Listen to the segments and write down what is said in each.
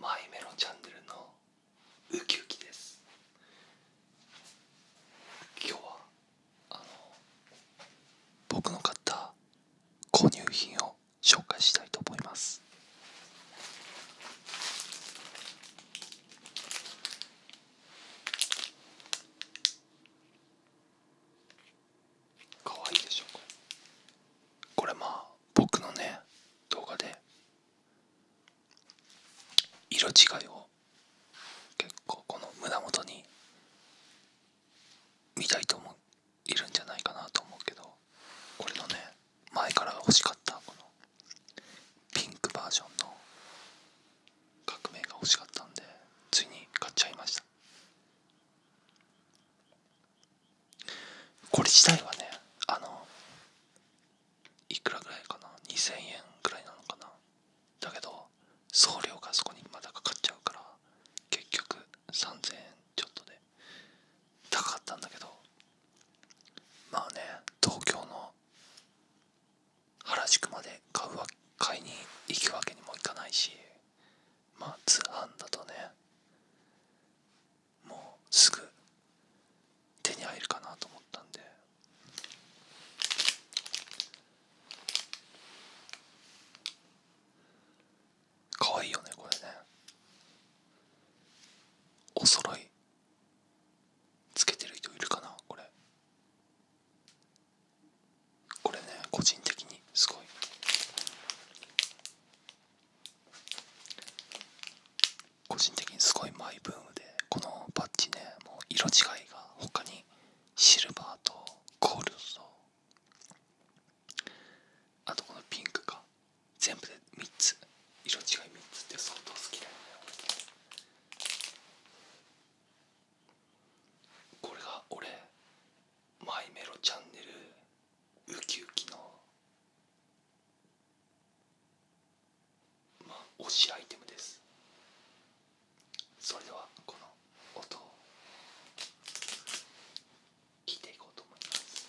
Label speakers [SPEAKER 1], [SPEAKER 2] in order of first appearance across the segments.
[SPEAKER 1] マイメロチャンネルのウキウキです今日はあの僕の買った購入品を紹介したいと思いますかわいいでしょこれまあ僕のね動画で色違いを結構この胸元に見たいともいるんじゃないかなと思うけどこれのね前から欲しかったこのピンクバージョンの革命が欲しかったんでついに買っちゃいましたこれ自体はねあのいくらぐらいかな2000円ぐらいなのかなだけど送料がそこにまだかかっちゃうから結局3000円ちょっとで高かったんだけどまあね東京の原宿まで買うわ買いに行くわけにもいかないしまあ通販だとねもうすぐ手に入るかなと思ったんで可愛いよねこれねおそろいつけてる人いるかなこれこれね個人的にすごい個人的にすごいマイブームでこのパッチねもう色違いが他にシルバーとゴールドとあとこのピンクが。全部で3つ色違い3つって相当好きだよねこれが俺マイメロチャンネルウキウキのまあ推しアイテムですそれではこの音を聞いていこうと思います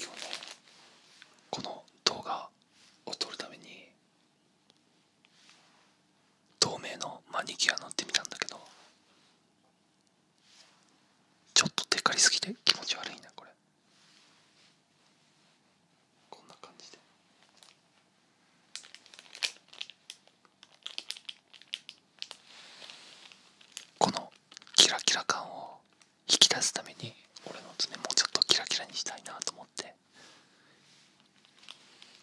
[SPEAKER 1] 今日ねこの動画を撮るために透明のマニキュア乗ってみたんだけどちょっとテかりすぎて気持ち悪いなこれこんな感じでこのキラキラ感を引き出すために俺の爪もうちょっとキラキラにしたいなと思って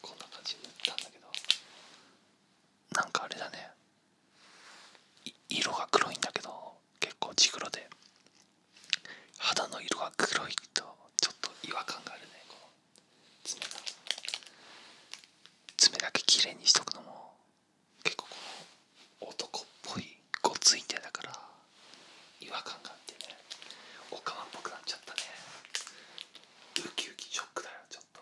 [SPEAKER 1] こんな感じに塗ったんだけどなんかあれだね色が黒いんだけど結構地黒で肌の色が黒いとちょっと違和感があるねこの爪が爪だけ綺麗にしとくのも結構この男っぽいごつい手だから違和感があってねおかわっぽくなっちゃったねウキウキショックだよちょっと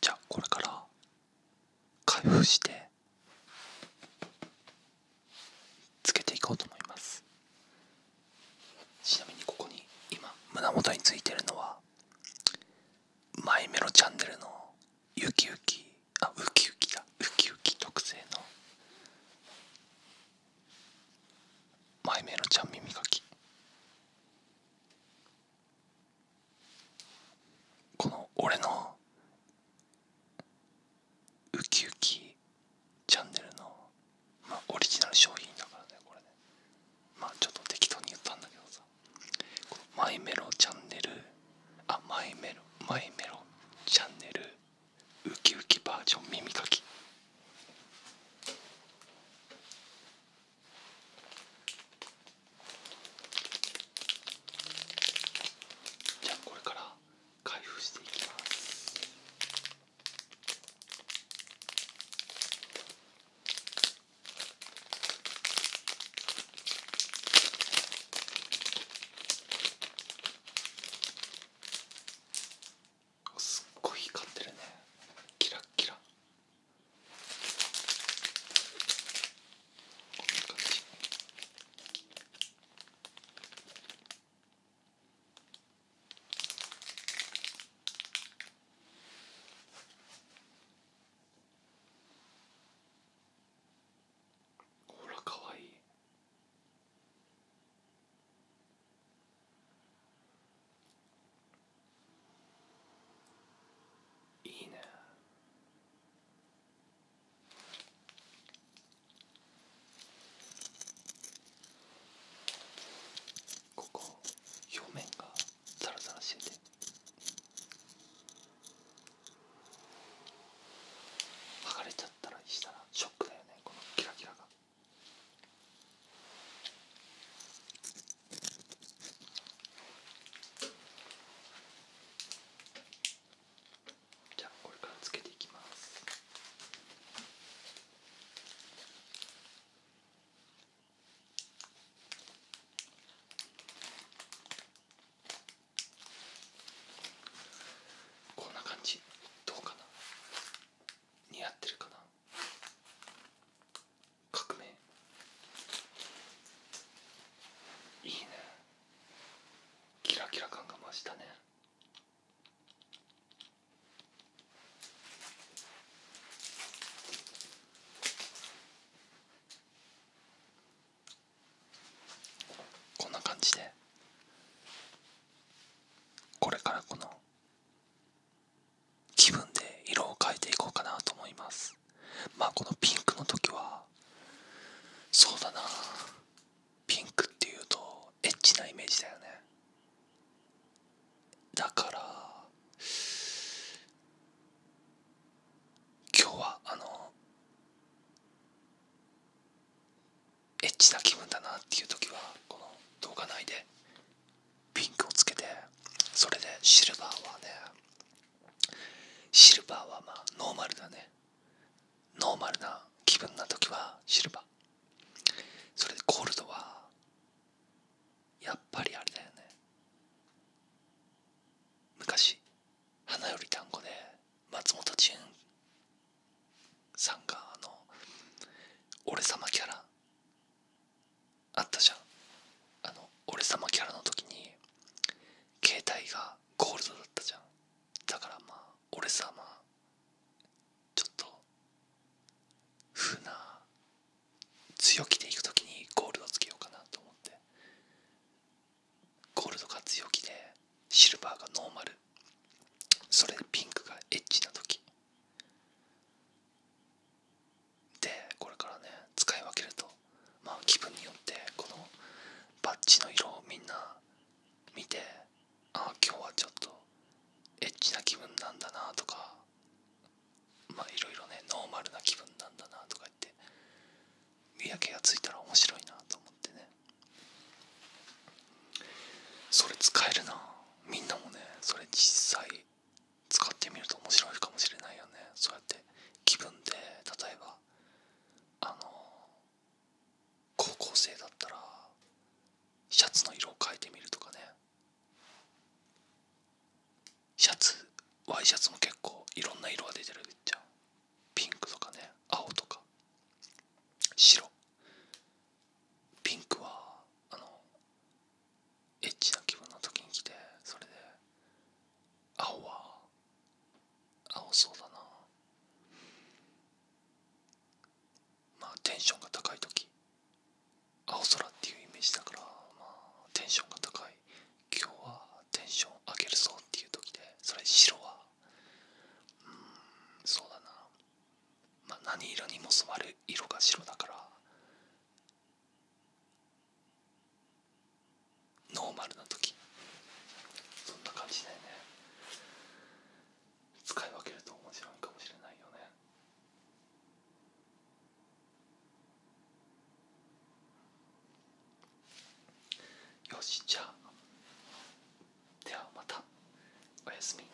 [SPEAKER 1] じゃあこれから開封してつけていこうと思いますちなみにここに今胸元についてるのはマイメロチャンネルのゆきゆき、あウキウキだウキウキ特製のマイメロちゃん耳かきこの俺のウキウキチャンネルの、まあ、オリジナル商品だからねこれねまあちょっと適当に言ったんだけどさマイメロチャンネルあマイメロマイメロチャンネルウキウキバージョン耳かきじゃあこれから開封していきますすっごい光ってるねキラッキラほらかわいいいいねここ表面がザラザラしてて剥がれちゃったらしたらショックだよねこのキラキラが。じゃこれからつけていきますこんな感じどうかな似合ってるかな革命いいねキラキラ感が増したねこんな感じでこれからこの気分で色を変えていこうかなと思いますまあこのピンクの時はそうだなピンクっていうとエッチなイメージだよねだから今日はあのエッチな気分だなっていう時はこの動画内でピンクをつけてそれでシルバーはねシルバーはまあノーマルだねノーマルな気分な時はシルバーそれでゴールドはやっぱりあれだよね昔「花よりたんこで松本潤さんがあの俺様キャラあったじゃんあの俺様キャラの時に携帯がゴールドだったじゃんだからまあ俺さまあちょっと風な強気でいく時にゴールドつけようかなと思ってゴールドが強気でシルバーがノーマルそれでピンクがエッチな時でこれからね使い分けるとまあ気分によってこのバッジの色をみんな見てああ今日はちょっとエッチな気分なんだなとかまあいろいろねノーマルな気分なんだなとか言って見分けがついたら面白いなと思ってねそれ使えるなみんなもねそれ実際使ってみると面白いかもしれないよねそうやって気分で例えばあの高校生だったらシャツの色を変えてみるとかねシャツワイシャツも結構いろんな色が出てるじゃんピンクとかね青とか白ピンクはあのエッチな気分の時に着てそれで青は青そうだなまあテンションが高い時青空っていうイメージだから、まあ、テンションが高い今日はテンション上げるぞっていう時でそれ白はうんそうだなまあ何色にも染まる色が白だからノーマルな時そんな感じだよね使い分けると面白いかもしれないよねよしじゃあではまたおやすみ